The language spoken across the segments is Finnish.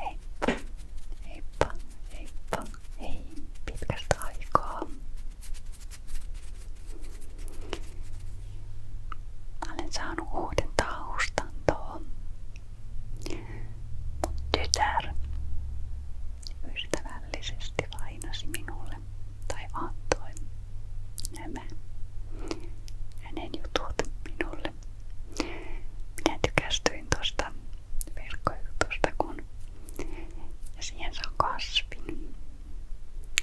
Hei! Heippa, heippa, hei! Pitkästä aikaa! Olen saanut uuden taustantoon. Mun tytär ystävällisesti lainasi minulle tai antoi nämä hänen jutut minulle päälle. Minä tykästyin tuosta verkkojutusta, kun ja siihen saa kasvin.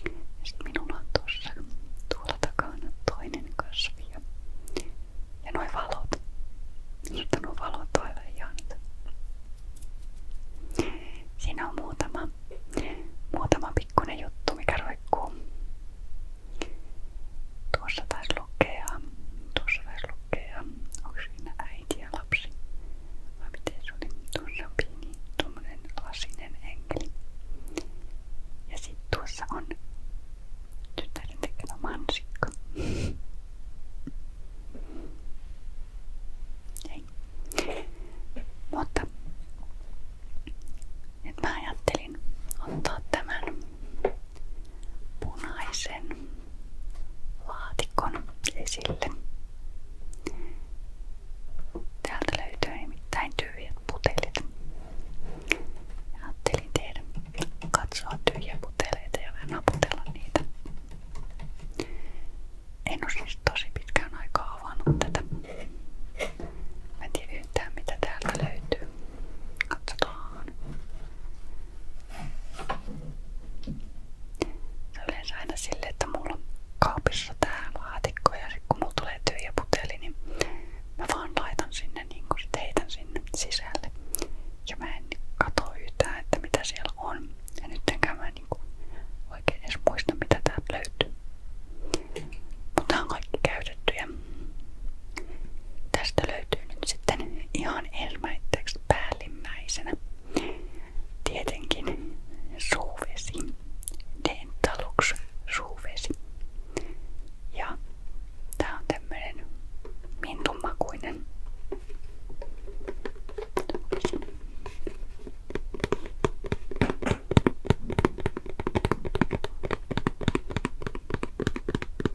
Ja sit minulla on tuossa tuolla takana toinen kasvi. Ja, ja noi valot. Minusta nuo valot on aivan ihanat. Siinä on muutama, muutama pikkuinen juttu, mikä roikkuu Tuossa taisi lukea, tuossa taisi lukea, onko siinä äiti ja lapsi? Vai miten se oli? Tuossa on pieni, tuommoinen lasinen enkeli. Ja sitten tuossa on tyttären tekemä mansikka. Ei. Mutta nyt mä ajattelin ottaa tämän punaisen laatikon esille. Täältä löytyy nimittäin tyhjät putelit. Ja ajattelin tehdä katsoa tyhjiä puteleita ja vähän naputella niitä. En ole siis tosi pitkään aikaa avannut tätä. Mä en tiedä yhtään mitä täältä löytyy. Katsotaan mukaan. Se on yleensä aina silleen, että mulla on kaapissa tää laatikko ja sit kun mulla tulee tyhjä puteli, niin mä vaan laitan sinne, niin kun sit heitän sinne sisälle. Ja mä en katso yhtään, että mitä siellä on. Ja nyt enkä mä niinku oikein edes muista, mitä täältä löytyy. Mutta on kaikki käytettyjä. Tästä löytyy nyt sitten ihan ensimmäiseksi päällimmäisenä tietenkin suuvesi, dentalux suuvesi. Ja tää on tämmönen mintunmakuinen.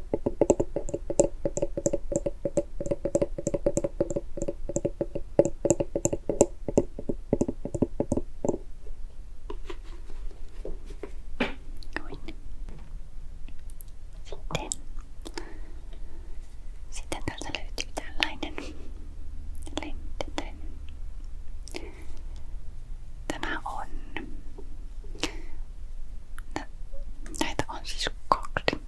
Sitten, sitten täältä löytyy tällainen lentinen. Tämä on Näitä on siis kaksi.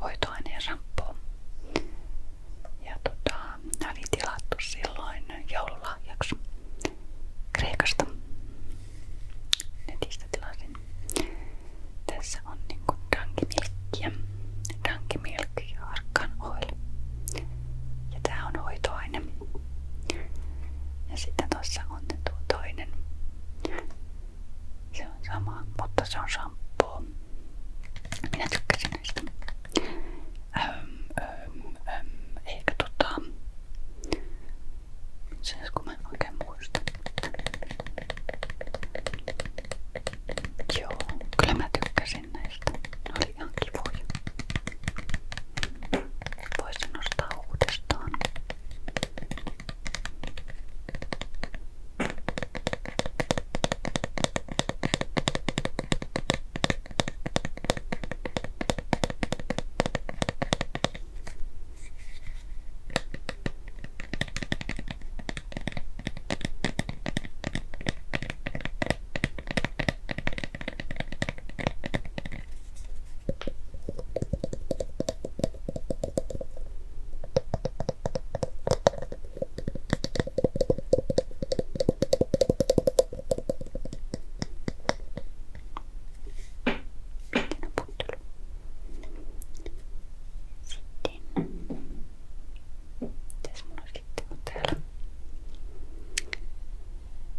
Hoitoaineen ramppoa. Ja tota, nämä oli tilattu silloin joululahjaksi Kreikasta. Netistä tilasin. Tässä on niinku dankimilkkiä. Dankimilkki ja arkan oil. Ja tää on hoitoaine. Ja sitten tuossa on tuo toinen se on sama, mutta se on shampoo. Minä tykkäsin näistä. Öm, öm, öm, eikä tota... Se kun mä en oikein muista. Joo, kyllä mä tykkäsin näistä. Ne oli ihan kivoja voisin nostaa uudestaan. Sitten. Mitäs mulla sitten on täällä?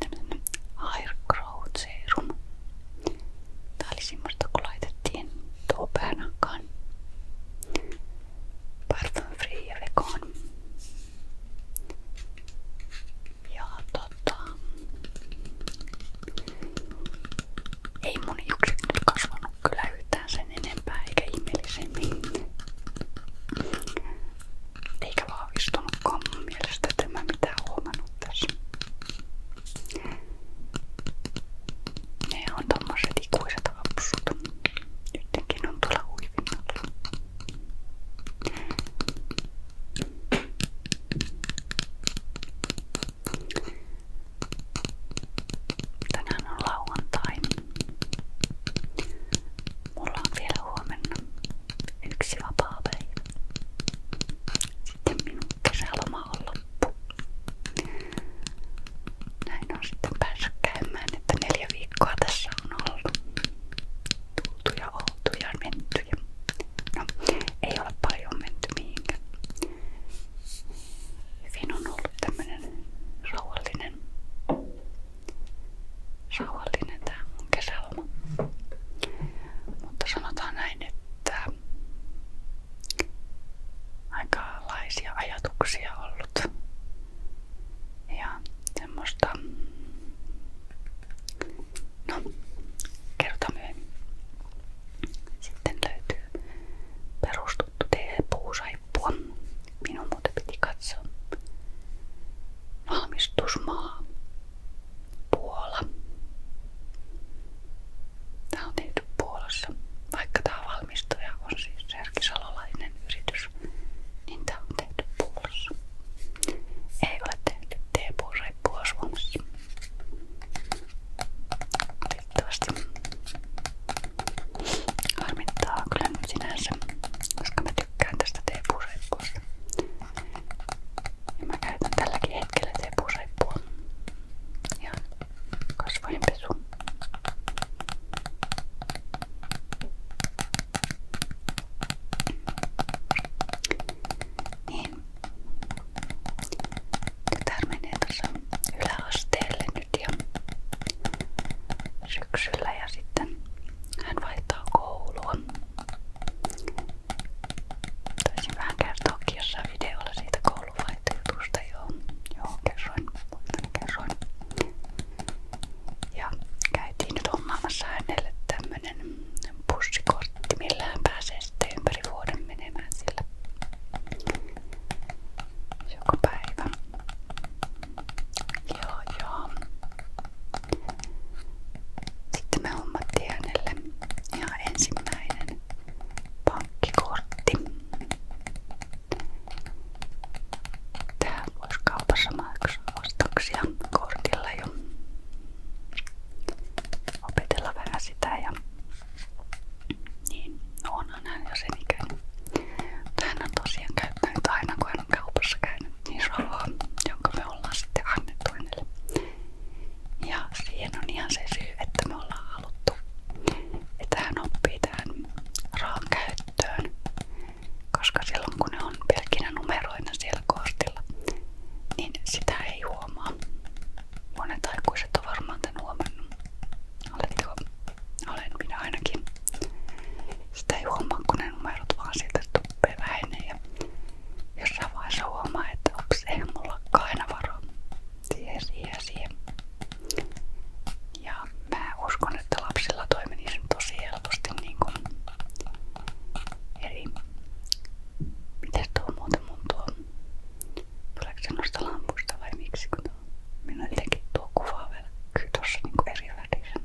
tämmönen Hair Growth Serum. Tää oli semmoista kun laitettiin tuo päänakkaan. Parfum Free ja Vegan. Ja tota... Ei mun hiukset nyt kasvanut kyllä yhtään sen enempää eikä ihmeellisemmin eikä vahvistunutkaan mun mielestä, että en mä mitään huomannut tässä. Ne on tommoset ikuiset hapsut. Nytkin on tuolla huivinnalla. Tänään on lauantai. Mulla on vielä huomenna yksi vapaa päivä. Sitten minun kesäloma on loppu. Näin on sitten päässyt käymään, että neljä viikkoa tässä on ollut. Tultu ja oltu ja menty. Ja... No, ei ole paljon menty mihinkään. Hyvin on ollut tämmönen rauhallinen rauhallinen tää mun kesäloma. Mutta sanotaan näin, että aikalaisia ajatuksia ollut ja semmoista, no kerta myöhemmin. Sitten löytyy perustuttu TV-puusaippua. Minun muuten piti katsoa valmistusmaa Puola. Tämä on tehty Puolassa. Vaikka tämä valmistuja on siis Serki Salolainen yritys, niin tämä on tehty Puolassa. Ei ole tehty teepuureippua Suomessa. Valitettavasti harmittaa kyllä nyt sinänsä, koska me tykkään tästä teepuureippuasta. Ja mä käytän tälläkin hetkellä teepuureippua. Ihan kasvojenpesu. Niin. Tytär menee tuossa yläasteelle nyt ja syksyllä ja sitten hän vaihtaa koulua. Taisin vähän kertoa kirjassa videolla siitä kouluvaihtojutusta, joo, joo kerroin, muistan kerroin. Ja käytiin nyt hommaamassa hänelle tämmönen bussikortti, millä hän pääsee sitten ympäri vuoden menemään sillä joka päivä. Joo, joo. Sitten me hommattiin hänelle ihan ensimmäinen pankkikortti. Tää kaupassa maksaa ostoksia kortilla jo. Opetella niin, no onhan hän jo sen tosiaan käyttänyt aina kun hän on kaupassa käynyt niin rahaa, jonka me ollaan sitten annettu hänelle. Ja siihen on ihan se syy, että me ollaan haluttu, että hän oppii tähän rahan käyttöön, koska silloin kun ne on pelkinä numeroina siellä kortilla, niin sitä ei huomaa. Monet aikuiset on varmaan tämän huomannut. Oletteko? Olen minä ainakin. Sitä ei huomaa, kun ne numerot vaan sieltä tuppee vähenee ja jossain vaiheessa huomaa, että ups, eihän mulla aina varaa siihen, siihen, siihen. Ja mä uskon, että lapsilla toimisi tosi helposti niin kuin eri... Mites tuo muuten mun tuo... Tuleeko se noista lampuista vai miksi? Kun tuo... Minä jotenkin tuo kuva välkkyy tossa niinku eri värisenä.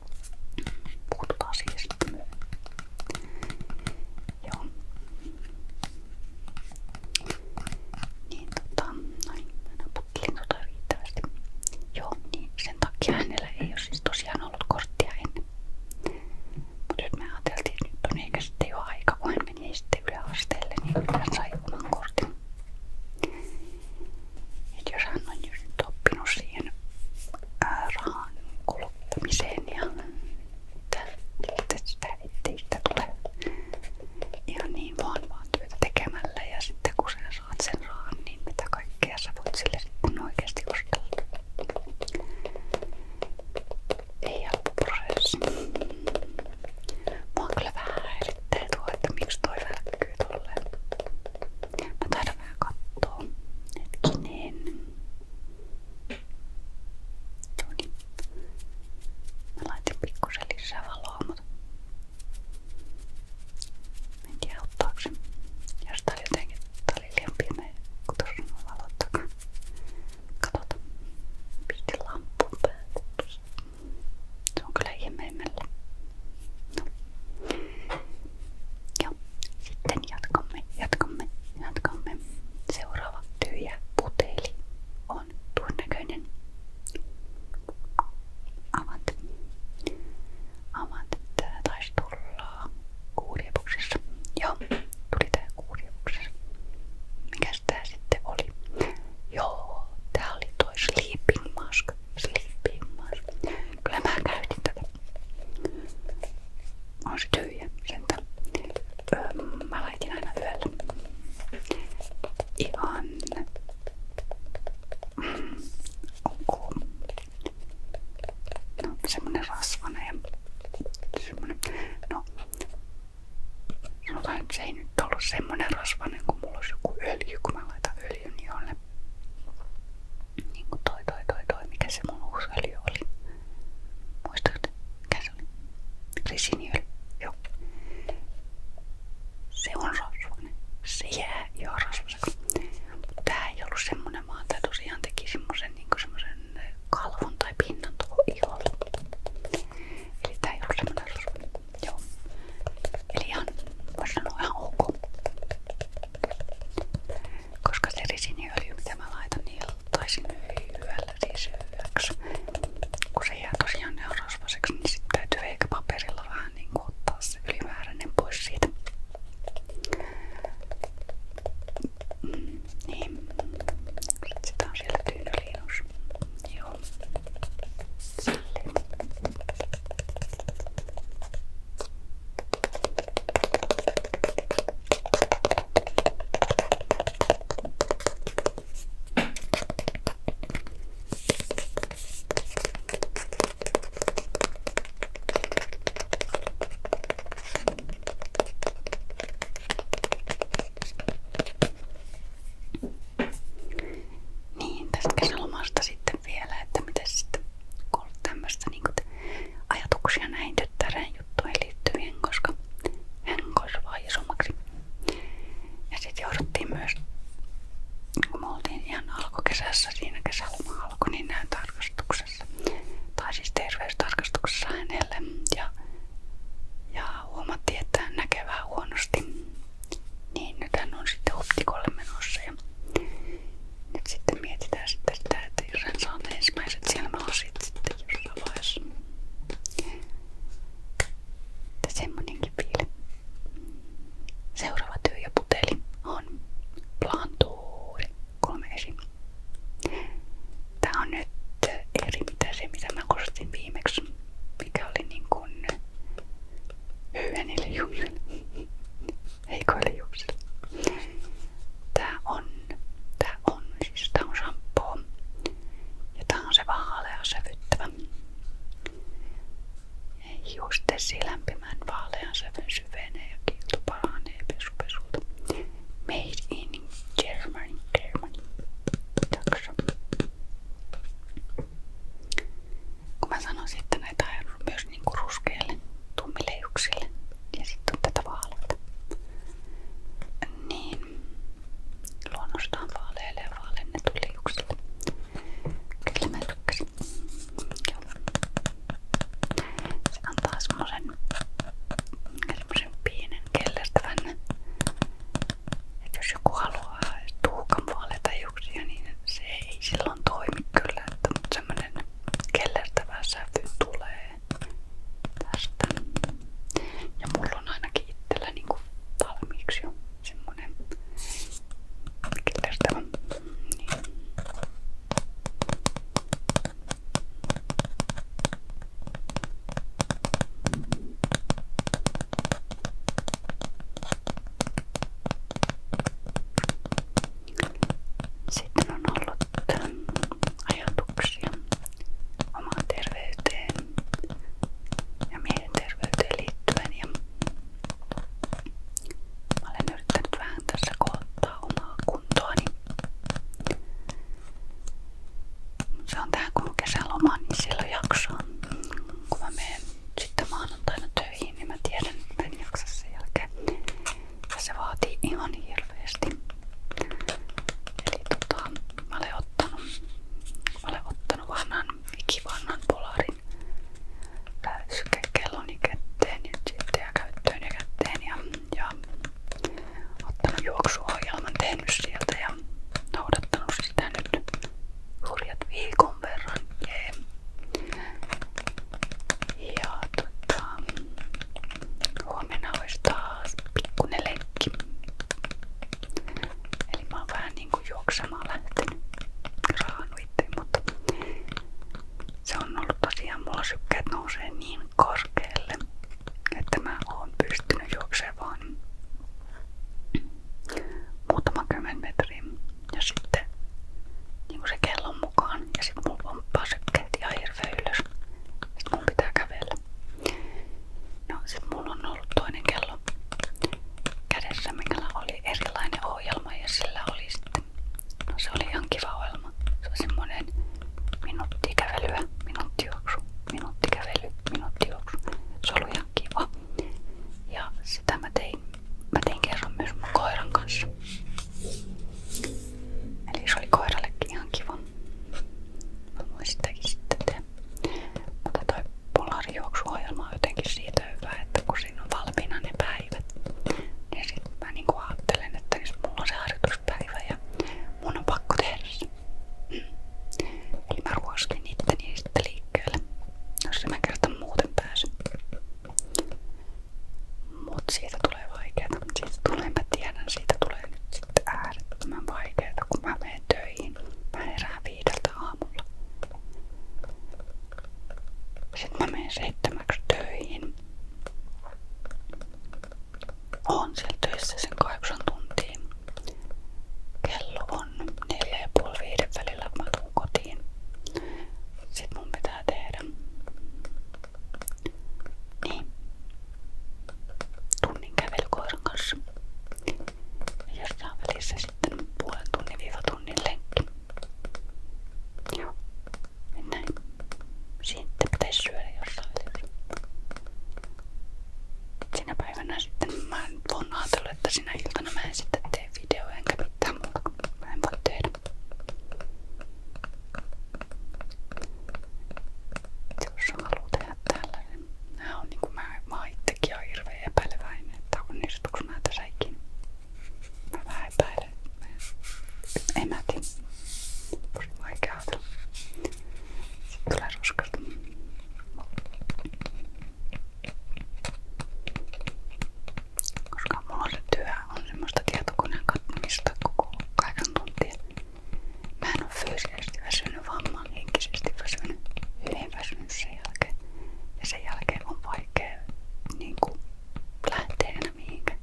Puhutaan asiasta Joo. Niin tota, noin, mä naputtelin tota riittävästi. Joo, niin sen takia hänellä ei ole siis tosiaan ollut korttia me ajateltiin, nyt on ehkä sitten jo aika, kun hän meni sitten yläasteelle, niin oman kortin. Et jos hän on just oppinut tällaisiin ää, äh, rahan kuluttamiseen ja että sitä, ettei sitä tule ihan niin vaan vaan työtä tekemällä ja sitten kun sä saat sen rahan, niin mitä kaikkea sä voit sille sitten oikeasti ostella. Ei helppo prosessi. Mua kyllä vähän häiritsee tuo, että miksi toi välkkyy tolleen. Mä taidan vähän kattoo. Hetkinen. No niin. Mä laitin pikkusen lisää valoa, mutta en tiedä ottaako se. Jos tää oli jotenkin, tää oli liian pimeä, kun tuossa on valot takana. Katsotaan. Piti lampun päälle. Se on kyllä ihmeemmällä. No. Ja ja sitten jatkamme, jatkamme, jatkamme. Seuraava tyhjä puteli on tuon näköinen. Avat. Avat. Tää taisi tulla kuuriepuksessa. Joo, tuli tää kuuriepuksessa. Mikäs tää sitten oli? Joo, tää oli toi sleeping mask. Sleeping mask. Kyllä mä käytin tätä on se tyhjä sentä. Öö, mä laitin aina yöllä. Ihan mm, onko no, semmonen rasvana ja semmonen, no sanotaan, että se ei nyt ollut semmonen rasvanen kun mulla olisi joku öljy, kun mä laitan öljyn jolle niin kuin toi toi toi toi, mikä se mun uusi öljy oli. Muistatko, mikä se oli? Resiniöljy, joo. Se on rasvainen. Se jää jo rasvaseksi. Tää ei ollut semmonen, vaan tää tosiaan teki semmosen, niin semmosen kalvon tai pinnan tuohon iholle. Eli tää ei ollut semmonen rasvainen. Joo. Eli ihan, vois sanoa ihan ok. Koska se risiniöljy, mitä mä laitan, niin ottaisin hyöllä siis hyväksi. Kun se jää tosiaan neurosvaseksi, niin sitten täytyy eikä paperilla vähän niin kuin ottaa se ylimääräinen pois siitä. Mm, niin. Sitten sitä on siellä tyynyliinus. Joo. Silleen. Niin, tästä kesälomasta sitten vielä, että miten sitten ollut tämmöistä niin ajatuksia näihin tyttären juttuihin liittyvien, koska hän kasvaa isommaksi. Ja sitten jouduttiin myös, niin kun me oltiin ihan alkukesässä, siinä kesäloma alkoi, niin näin tarkastuksessa, tai siis terveystarkastuksessa hänelle. Ja, ja huomattiin, että hän näkee vähän huonosti. Niin nyt hän on sitten optikolle menossa. Ja nyt sitten mietitään sitten sitä, että jos hän saa ne ensimmäiset silmälasit sitten jossain vaiheessa. Että semmonenkin vielä. Seuraava työ ja puteli on plantuuri. Kolme esi. Tää on nyt eri mitä se mitä mä kostin viimeksi. Mikä oli niin kuin hyönille juhlille heikoille juuksille. Tää on, tää on, siis tää on Ja tää on se vaalea sävyttävä. Hiustesi lämpimän vaalean sävyn syvenee ja kiilto paranee Made in Germany, Germany. Taksa. Kun mä sanon sitten myös niinku ruskeille, tummileijuksille, ja sitten on tätä Niin, luonnostaan vaaleille ja vaalennetun liuksille. Kyllä mä tykkäsin. Se antaa semmosen, semmosen pienen kellertävän. Että jos joku haluaa tuhkan vaaleita hiuksia, niin se ei silloin toimi kyllä. Että, mutta semmonen kellertävä tulee tästä. Ja mulla on ainakin itsellä niin kuin valmiiksi jo semmonen killertävä. Niin. Tää sitten on ollut ajatuksia omaan terveyteen ja mielenterveyteen liittyen ja mä olen yrittänyt vähän tässä koottaa omaa kuntoani. Se on tähän kun on kesäloma, niin silloin jaksoon. Kun mä menen sitten maanantaina töihin, niin mä tiedän, että en jaksa sen jälkeen se vaatii ihan hirveesti. Eli tota, mä olen ottanut, mä olen ottanut vanhan, ikivanhan polarin täyskelloni kätteen ja sitten ja käyttöön ja kätteen ja, ja ottanut juoksuohjelman, tehnyt sieltä ja noudattanut sitä nyt hurjat viikon verran. Yeah. Ja tota, Huomenna olisi taas pikkunen lenkki. Eli mä oon vähän niinku juoksemaan lähtenyt raahannut itseäni, mutta se on ollut tosiaan mulla sykkeet nousee niin korkealle, että mä oon pystynyt juoksemaan vaan muutama kymmen metriä ja sitten niinku se kellon mukaan ja sit mulla pomppaa sykkeet ihan hirveä ylös. Sit mun pitää kävellä. No sit mulla on ollut toinen kello kädessä, mikä oli erilainen ohjelma ja sillä oli sitten, no se oli ihan kiva ohjelma. Se oli semmonen minuutti kävelyä, minuutti juoksu, minuutti kävely, minuutti juoksu. Se oli ihan kiva. Ja sitä mä tein, mä tein kerran myös mun koiran kanssa. Eli se oli koirallekin ihan kiva. Mä voin sitäkin sitten tehdä. Mutta toi polarijuoksuohjelma on jotenkin siitä hyvä, että kun siinä on valmiina ne päivät, niin sitten mä niinku ajattelen, että jos mulla on se harjoituspäivä ja mun on pakko tehdä se. Mm. Eli mä ruoskin itteni sitten liikkeelle, jos mä kerta muuten pääsen. Mut siitä tulee vaikeeta, mut siitä tulee, mä tiedän, siitä tulee nyt sitten äärettömän vaikeeta, kun mä menen töihin. Mä herään viideltä aamulla. Sitten mä menen seitsemäksi töihin. Oon siellä töissä sen kahdeksan tuntia. Kello on neljä ja puoli viiden välillä, kun mä tuun kotiin. Sitten mun pitää tehdä niin. Tunnin kävely koiran kanssa. Ja jossain välissä sitten puolen tunnin viiva tunnin lenkki. Joo. Mennään. Sitten pitäisi syödä jossain välissä. Sinä päivänä sitten mä oon ajatellut, että sinä iltana mä en sitten tee videoa enkä mitään muuta. Mä en voi tehdä jos haluaa tehdä tällainen. Nää on niinku mä, mä itsekin oon hirveen epäileväinen, että onnistuks mä tässä ikinä. Mä vähän epäilen. En mä tiedä. Tosi vaikea ajatella. Sitten tulee ruskasta. Koska mulla on se työ ja on semmoista tietokoneen katsomista koko kahdeksan tuntia. Mä en oo fyysisesti väsynyt, vaan mä oon henkisesti väsynyt, hyvin väsynyt sen jälkeen. Ja sen jälkeen on vaikea niinku lähteä enää mihinkään.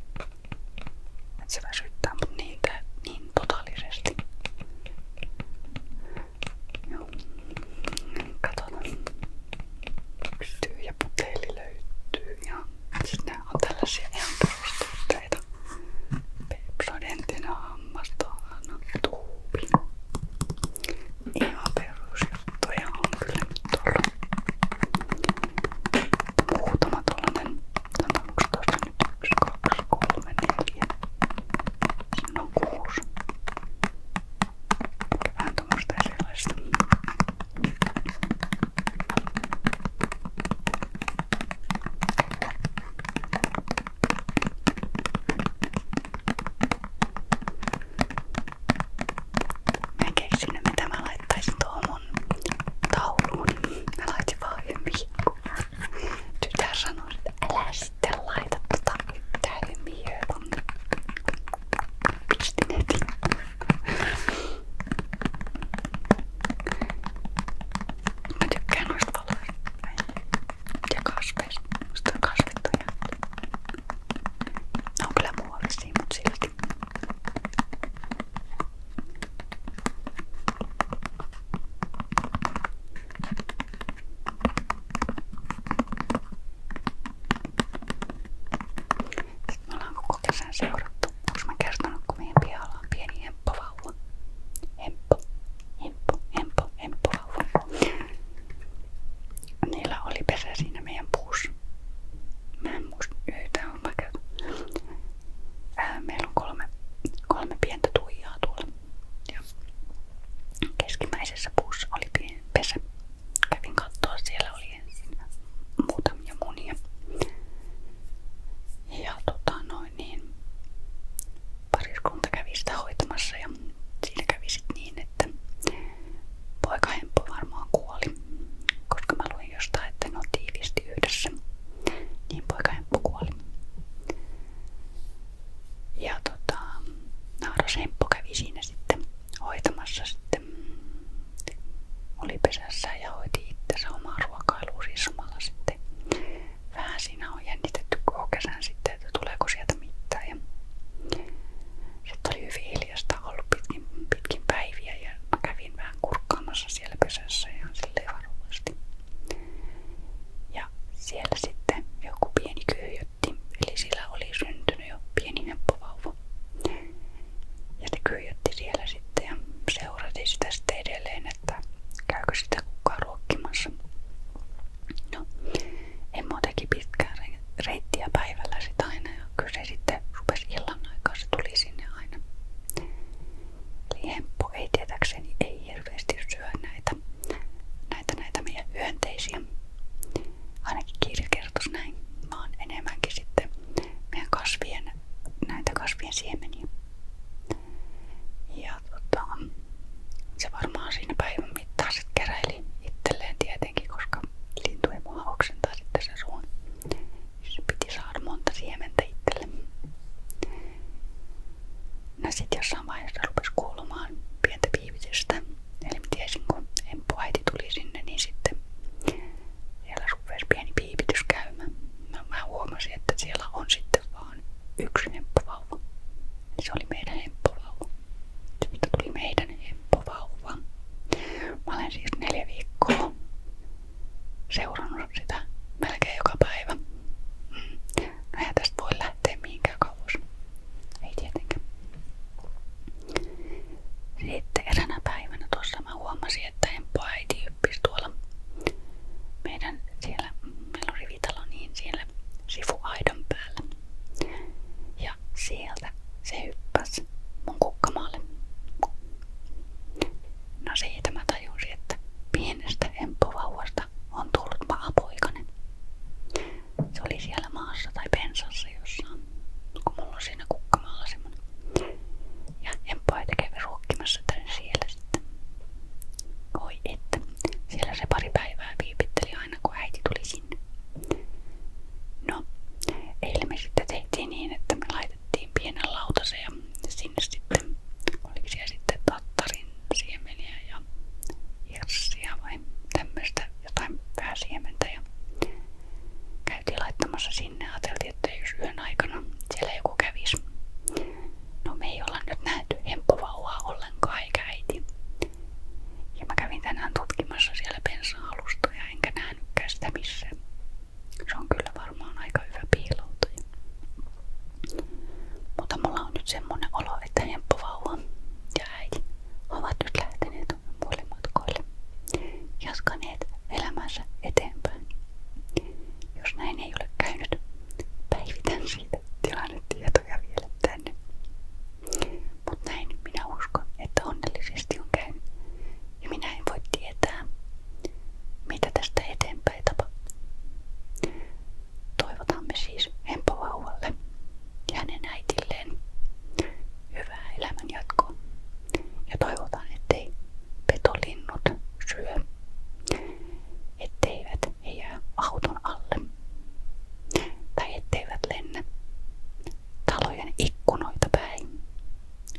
Et se väsyttää mut niitä niin totaalisesti. Joo. Katsotaan. Yksi tyhjä puteli löytyy ja sitten nämä on tällaisia ihan perustuotteita. Pepsodenttina hammastohana tuubi. Ihan perusjuttuja on kyllä nyt tuolla. Muutama tuollainen, tämä on tuossa nyt 1, 2, 3, 4, siinä on 6. Vähän tuommoista erilaista. Mä en keksinyt mitä mä laittaisin tuohon mun tauluun. Mä laitin vaan hymiikkuun. Tytär sanoi, että älä sitten laita tota yhtään hymiöön. Pistin heti. Mä tykkään noista valoista ja kasveista. Musta on kasvittuja. Ne on kyllä muovisia, mut silti. Me ollaan koko kesän seurattu. Onko mä kertonut, kun meidän pieni hemppovauva? Hemppo, hemppo, hemppo, hemppovauva. Niillä oli pesä siinä meidän puussa. Mä en muista yhtään, äh, Meillä on kolme, kolme pientä tuijaa tuolla. keskimmäisessä puussa oli pieni pesä. Kävin katsoa, siellä oli siihen sinne Ja tota noin niin pariskunta kävi hoitamassa ja siinä kävi niin, että poika Hemppo varmaan kuoli, koska mä luin jostain, että ne on tiiviisti Niin poika Hemppo kuoli. Ja tota, naaras Hemppo kävi siinä sitten hoitamassa sitten sitten oli pesässä ja hoiti itsensä omaa ruokailua siis samalla sitten. Vähän siinä on jännitetty koko kesän sitten, että tuleeko sieltä mitään. Ja sitten oli hyvin hiljasta ollut pitkin, pitkin päiviä ja mä kävin vähän kurkkaamassa siellä pesässä ihan silleen varovasti. Ja siellä sitten joku pieni kyyhjötti, eli sillä oli syntynyt jo pieni ja se kyijätti siellä että käykö sitä kukaan ruokkimassa. No, en muutenkin pitkään reittiä päivällä aina ja kyllä se illan aikaa, se tuli sinne aina. Eli ei tietääkseni ei hirveästi syö näitä, näitä, näitä meidän hyönteisiä. Ainakin kirja kertoisi näin, vaan enemmänkin sitten meidän kasvien näitä kasvien siemeniä. Ja tota, se varmaan siinä päivän mittaan sit keräili itselleen tietenkin, koska lintu ei mua oksentaa sitten sen suun. Niin se piti saada monta siementä itselle. No sit jossain vaiheessa rupes kuulumaan pientä piivitystä. Eli mä tiesin kun Emppu äiti tuli sinne, niin sitten siellä rupes pieni piipityskäymä. Mä, mä huomasin, että siellä on sitten vaan yksi hemppovauva. Se oli meidän hemppovauva. Siitä tuli meidän hemppovauva. Mä olen siis neljä viikkoa seurannut sitä melkein joka päivä. No ei tästä kauas. Ei tietenkään. Sitten eräänä päivänä tuossa Kyllä mä huomasin, että Hemppo äiti yppisi tuolla meidän siellä, meillä on rivitalo, niin siellä sifuaidan päällä. Ja sieltä se hyppäsi mun kukkamaalle. No siitä mä tajusin, että pienestä emppovauvasta on tullut maapoikainen. Se oli siellä maassa tai pensassa jossain, kun mulla on siinä kukkamaalla semmonen. Ja emppoaita kävi ruokkimassa tän siellä sitten. Oi että, siellä se pari päivää viipitteli aina kun äiti tuli sinne. No, eilen me sitten tehtiin niin, että me laitettiin pienen lautasen ja sinne sitten, oliko siellä sitten tattarin siemeniä ja hirssia vai tämmöistä jotain pääsiementä ja Käytiin laittamassa sinne, ajateltiin, että jos yön aikana siellä joku kävisi. No me ei olla nyt nähty hemppovauvaa ollenkaan eikä äiti. Ja mä kävin tänään tutkimassa siellä bensa-alustoja, enkä nähnytkään sitä missään. Se on kyllä varmaan aika hyvä piiloutuja. Mutta mulla on nyt semmonen olo, että hemppovauva ja äiti ovat nyt lähteneet muille matkoille jaskaneet elämänsä eteenpäin. Jos näin ei ole käynyt, päivitän siitä tilannetietoja vielä tänne. Mutta näin minä uskon, että onnellisesti on käynyt. Ja minä en voi tietää, mitä tästä eteenpäin tapahtuu. Toivotamme siis Hempo vauvalle ja hänen äitilleen hyvää elämän jatkoa. Ja toivotaan, ettei petolinnut syö, etteivät he jää auton alle tai etteivät lennä talojen ikkunoita päin,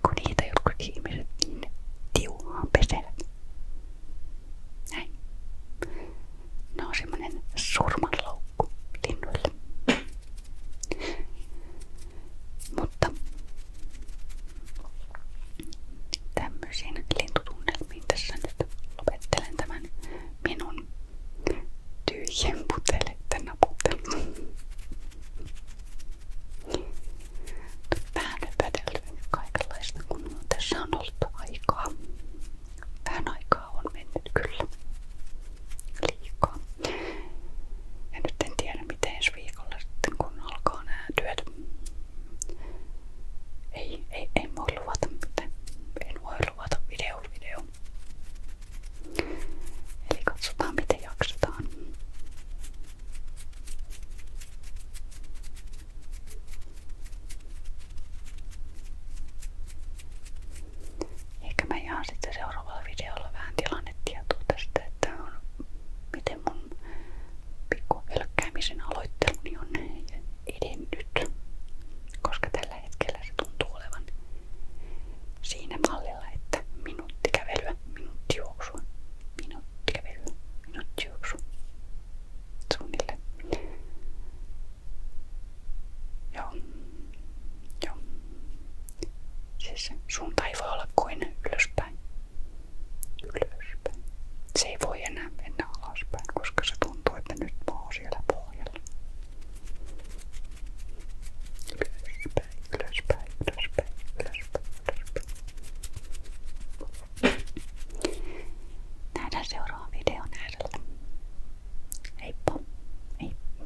kun niitä jotkut ihmiset niin tiuhaan pesevät. Näin. Ne on semmoinen surmanloukku linnuille. Mutta tämmöisiin lintutunnelmiin tässä nyt lopettelen tämän minun tyhjien puteleiden naputtelun. Vähän hypätelty kaikenlaista, kun tässä on ollut aikaa. Vähän aikaa on mennyt kyllä liikaa. Ja nyt en tiedä miten ensi viikolla sitten kun alkaa nämä työt. Ei, ei, ei voi luvata mitään. En voi luvata video video. Eli katsotaan miten jaksetaan. Ehkä mä jaan sitten seuraavalla videolla vähän tilannetietoa tästä, että on miten mun pikku hölkkäämisen aloitteluni on edennyt, koska tällä hetkellä se tuntuu olevan siinä mallilla, että minuutti kävelyä, minuutti juoksua, minuutti kävelyä, minuutti juoksua. Suunnilleen. Joo. Joo. Siis suunta ei voi olla kuin ylöspäin. Ylöspäin. Se ei voi enää mennä alaspäin, koska se tuntuu, että nyt mä oon siellä pohjalla. Ylöspäin, ylöspäin, ylöspäin, ylöspäin, ylöspäin. Nähdään seuraavan videon äärellä. Heippa! Heippa!